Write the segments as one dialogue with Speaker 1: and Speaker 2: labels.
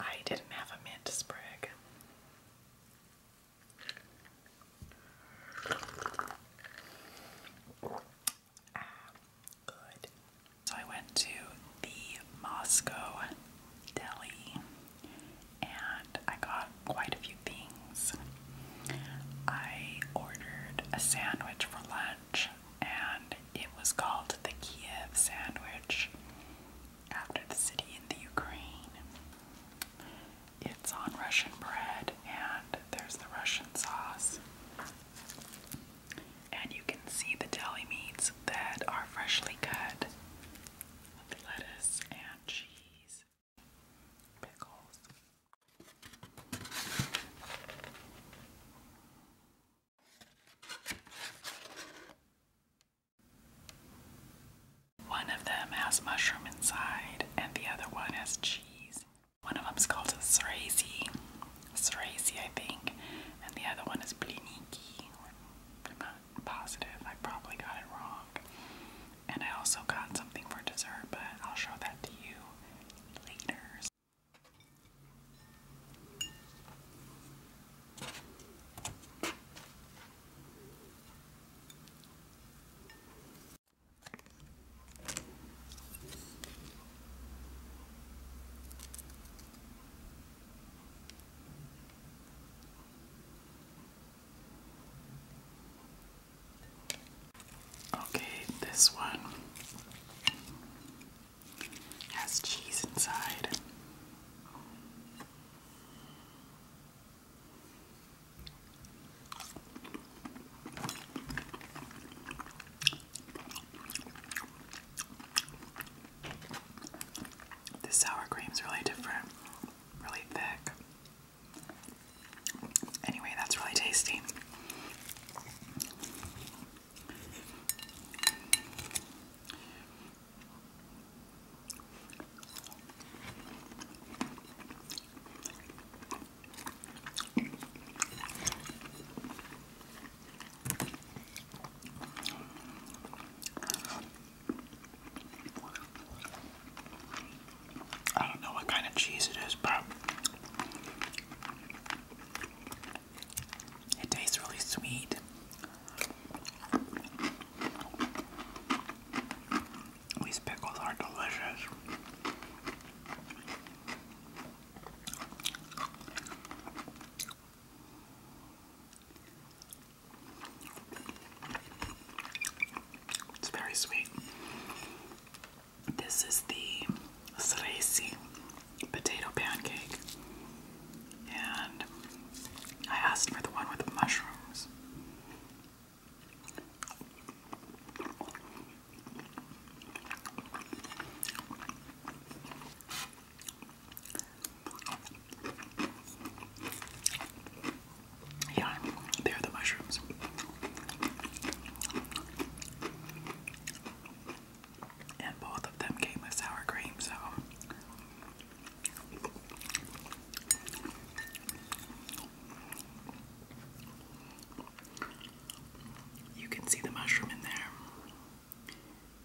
Speaker 1: I didn't have a mint sprig. Ah, good. So I went to the Moscow deli and I got quite a few things. I ordered a sandwich for lunch, and it was called the Kiev sandwich after the city in the Ukraine. It's on Russian bread, and there's the Russian sauce. And you can see the deli meats that are freshly cut with lettuce and cheese, pickles. One of them has mushroom inside, and the other one has cheese. One of them is called a srazi, srazi I think, and the other one is bliniki positive. I probably got it wrong. And I also got something for dessert, but I'll show that to you later. Okay, this one has cheese inside. This sour cream is really different, really thick. Anyway, that's really tasty. I don't know what kind of cheese it is, but it tastes really sweet. These pickles are delicious. It's very sweet. This is the Sresi potato pancake. And I asked for the one with the mushrooms. Yeah, they're the mushrooms. And both of them came with sour cream, so. You can see the mushroom in there.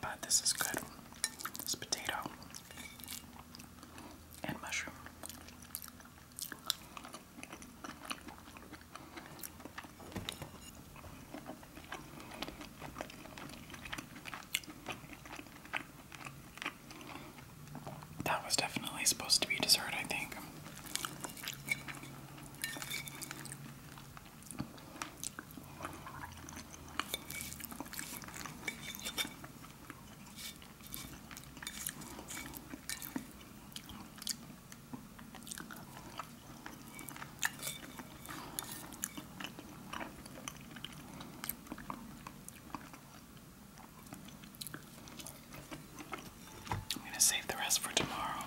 Speaker 1: But this is good. This potato and mushroom. That was definitely supposed to be dessert, I think. I'm going to save the rest for tomorrow.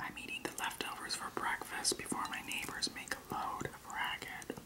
Speaker 1: I'm eating the leftovers for breakfast before my neighbors make a load of racket.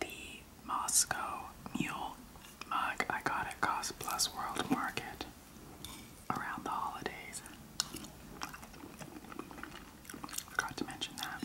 Speaker 1: The Moscow Mule mug I got at Cost Plus World Market around the holidays. Forgot to mention that.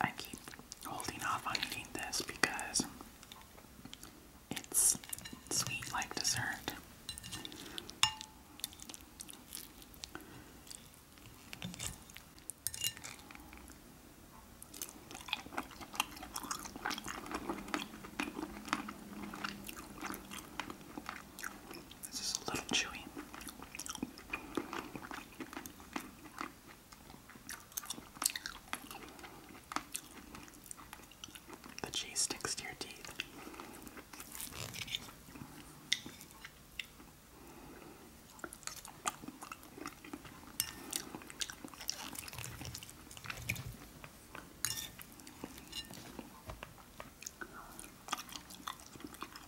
Speaker 1: I keep holding off on eating this because it's sweet like dessert. This is a little chewy. The cheese sticks to your teeth.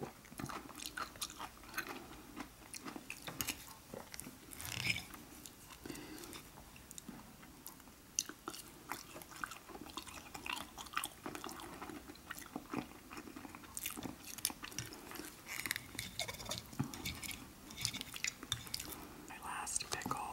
Speaker 1: My last pickle.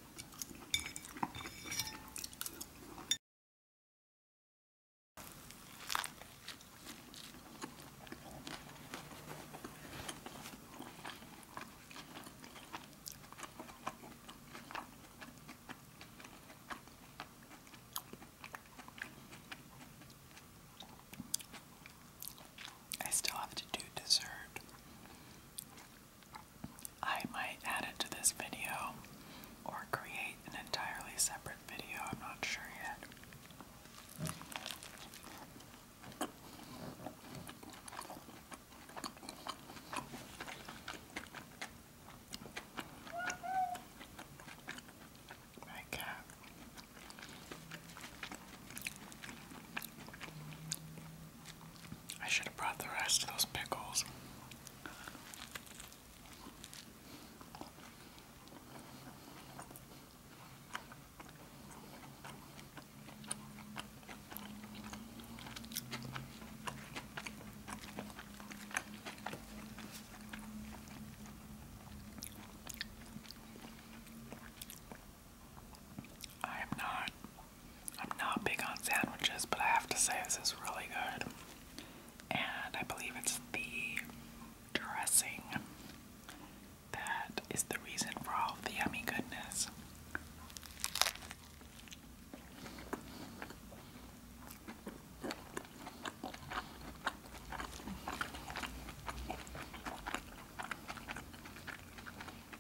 Speaker 1: I still have to do dessert. I might add it to this video or create an entirely separate video, I'm not sure yet. My cat I should have brought the rest of those pickles. I am not I'm not big on sandwiches, but I have to say this is really good. And I believe it's the dressing that is the reason for all the yummy goodness.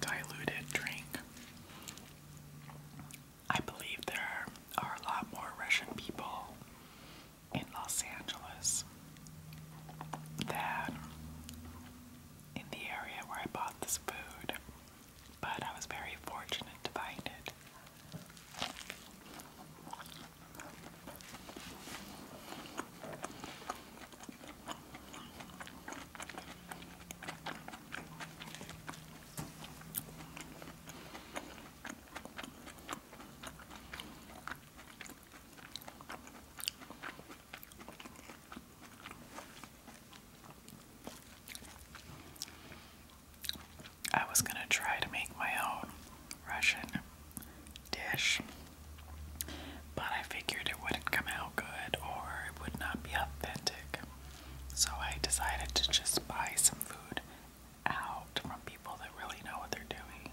Speaker 1: Diluted drink. I believe there are a lot more Russian people in Los Angeles than in the area where I bought this food, but I was very fortunate to find it. I was going to try to make my own Russian dish, but I figured it wouldn't come out good or it would not be authentic. So I decided to just buy some food out from people that really know what they're doing.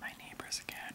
Speaker 1: My neighbors again.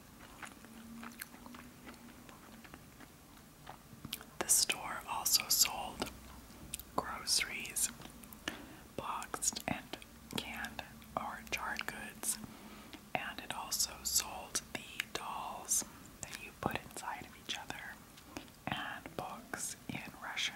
Speaker 1: The store also sold groceries, boxed and canned or jarred goods, and it also sold the dolls that you put inside of each other and books in Russian.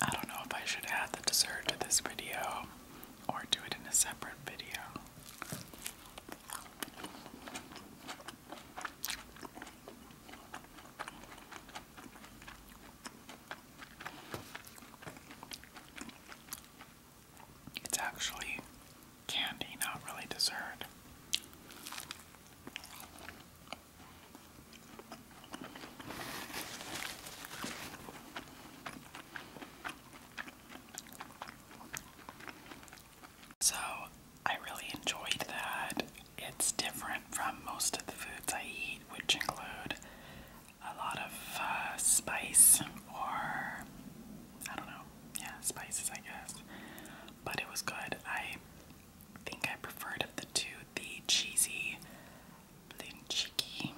Speaker 1: I don't know if I should add the dessert to this video or do it in a separate video. It's actually candy, not really dessert. So, I really enjoyed that. It's different from most of the foods I eat, which include a lot of uh, spice or I don't know, yeah, spices, I guess. But it was good. I think I preferred of the two the cheesy linchiki.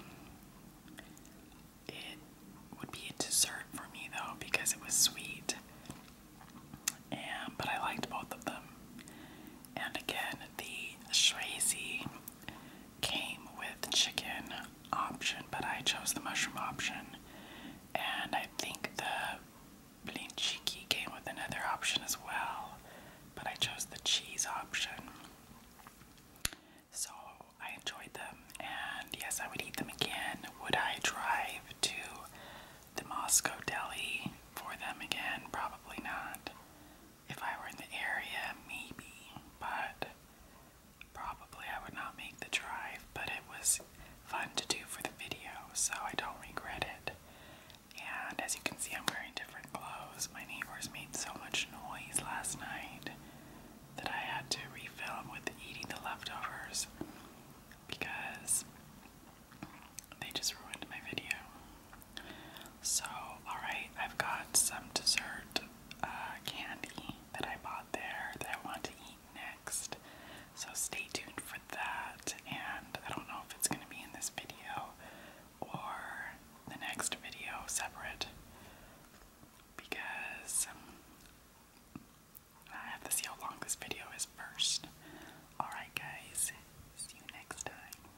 Speaker 1: It would be a dessert for me though because it was sweet. And but I liked both of them. And again, the Shrezy came with chicken option, but I chose the mushroom option. And I think the blinchiki came with another option as well, but I chose the cheese option. So I enjoyed them, and yes, I would eat them again. Would I drive to the Moscow deli for them again? Probably not if I were in the area, maybe, but probably I would not make the drive. But it was fun to do for the video, so I don't regret it. And as you can see, I'm wearing different clothes. My neighbors made so much noise last night that I had to refilm with eating the leftovers because they just ruined my video. So, alright, I've got some dessert uh, candy that I bought there that I want to eat next. So, stay tuned for that. And I don't know if it's going to be in this video or the next video separate because um, I have to see how long this video is first. Alright, guys, see you next time.